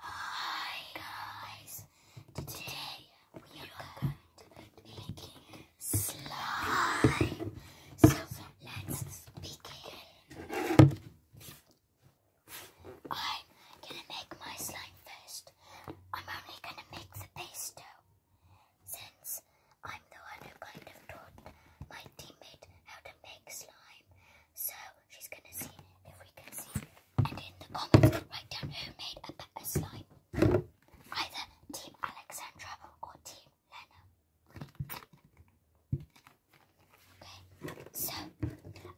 Hi guys! Today we are going to be making slime. So let's begin. I'm gonna make my slime first. I'm only gonna make the base dough. Since I'm the one who kind of taught my teammate how to make slime. So she's gonna see if we can see. And in the comments, write down who made a better slime. Either Team Alexandra or Team Lena. Okay, so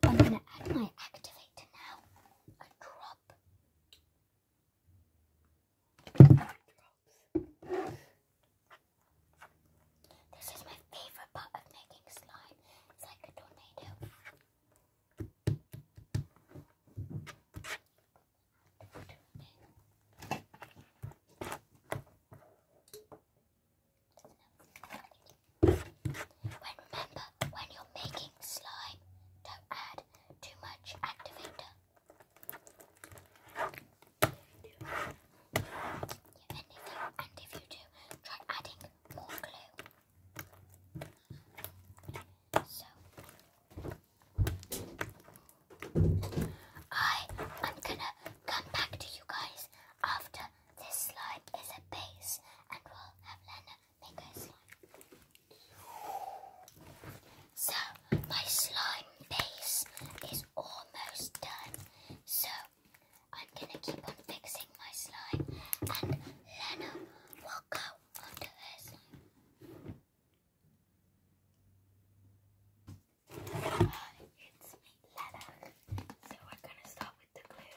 I'm gonna add my activator now and drop. This is my favorite part of making slime. It's like a tornado. When you're making slime, don't add too much activator. Yeah, and, and if you do, try adding more glue. So I am gonna come back to you guys after this slime is a base and we'll have Lena make her slime. So my slime base is almost done. So I'm gonna keep on fixing my slime and Lena will go under her slime. Hi, it's me, Lena. So we're gonna start with the glue.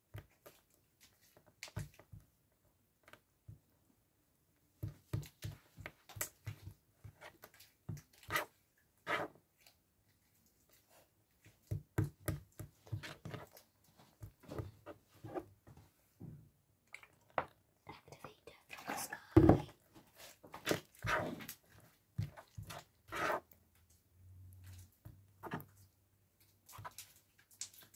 Activator from the sky.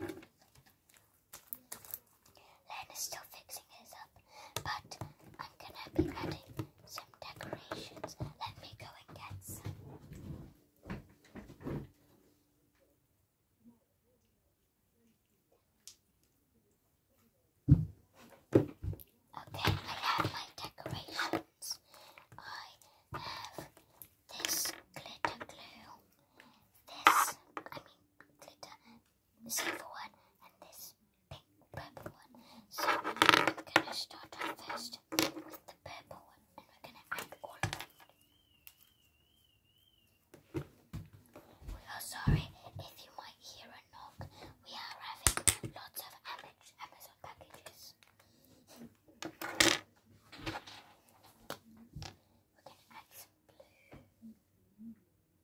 Len still fixing his up, but I'm gonna be adding some decorations. Let me go and get some. Okay, I have my decorations. I have this glitter glue, this, I mean glitter, silver one, and this pink purple one. So I'm gonna start off first with the purple one and we're gonna add all of them. We oh, are sorry if you might hear a knock. We are having lots of Amazon packages. We're going to add some blue. And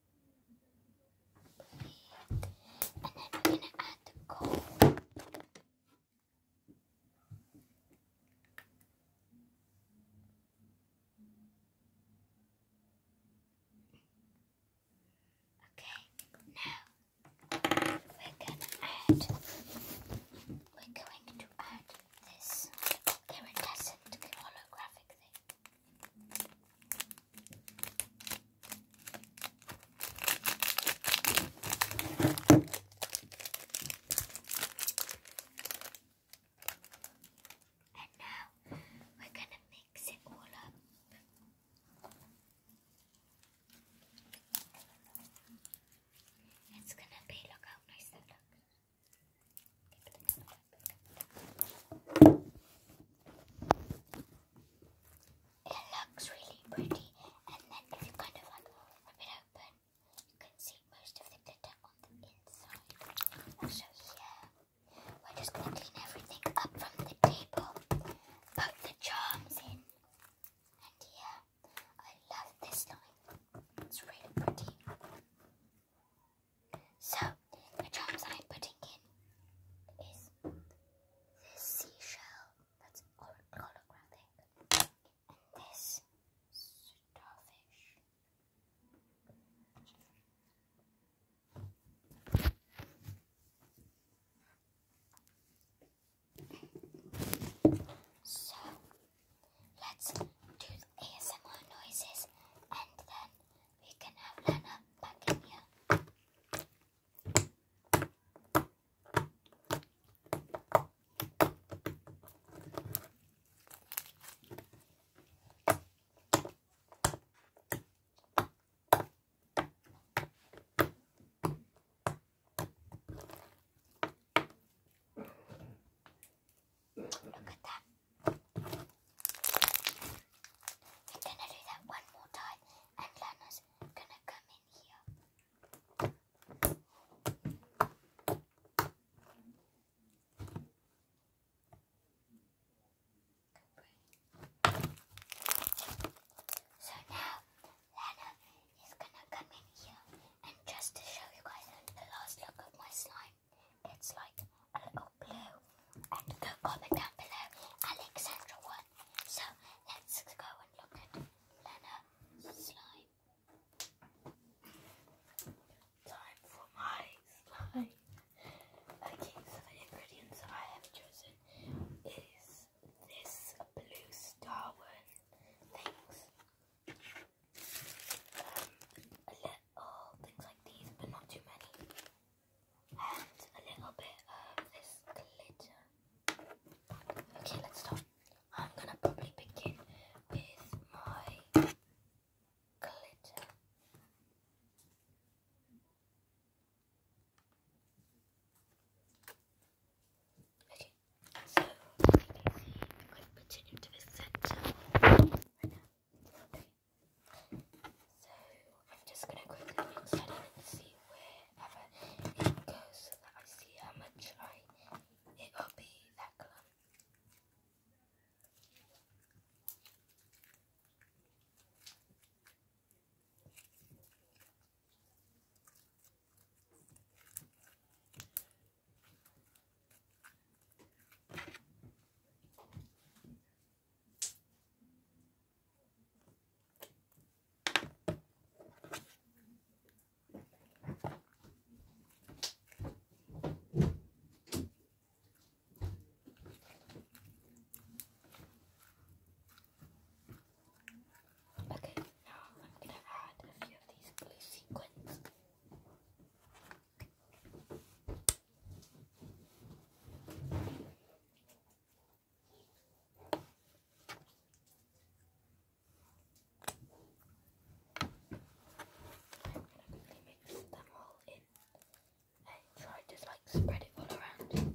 then we're going to add the gold. Okay, now we're going to add, we're going to add this iridescent holographic thing. And now we're going to mix it all up. It's going to be, look how nice that looks. It looks really pretty and then if you kind of like rip it open you can see most of the glitter on the inside. So here we're just going to clean everything up from the table, put the charms in and here I love this line. It's really pretty. So, the drums I'm putting in is this seashell that's holographic and this starfish. So, let's do ASMR noises and then we can have Lana back in here. Look at that. We're gonna do that one more time and Lana's gonna come in here. So now Lana is gonna come in here and just to show you guys the last look of my slime, it's like a little blue. And comment down below Alexandra one. So let's go and look at Lena's slime. Time for my slime. Okay, so the ingredients I have chosen is this blue star one a little oh, things like these, but not too many. And a little bit of this glitter. Okay, let's start. I'm gonna probably begin with my glitter. Okay, so you can see I'm going to put it the center So I'm just going to quickly mix it and see wherever it goes so that I see how much I it will be that colour. Okay, now I'm gonna add a few of these blue sequins quickly mix them all in and try to like spread it all around.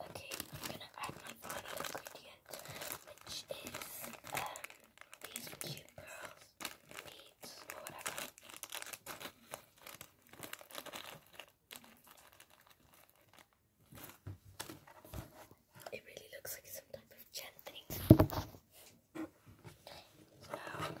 Okay, I'm gonna add my final ingredient, which is um these cute pearls, beads, whatever. It really looks like some type of gem thing. So now I'm gonna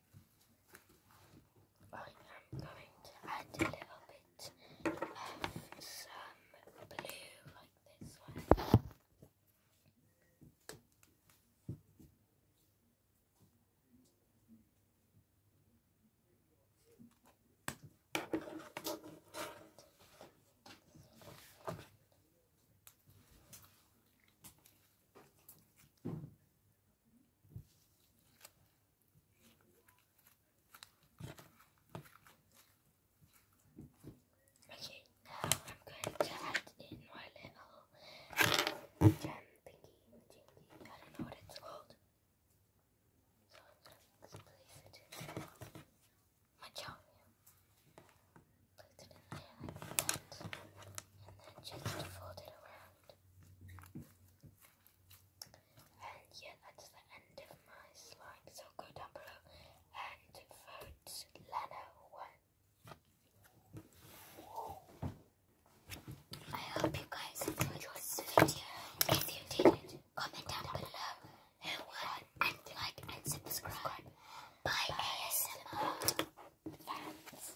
I am going to add a little bit of some blue like this one. Okay, now I'm going to add in my little gem thingy, jingy, I don't know what it's called. So I'm going to place it in my jar. it in there like that, and then just fold it around. And yeah, that's the end of my slide. So go down below and vote Leno won. I hope you guys enjoyed this video. If you did, comment down below who won and like and subscribe. Bye ASMR fans.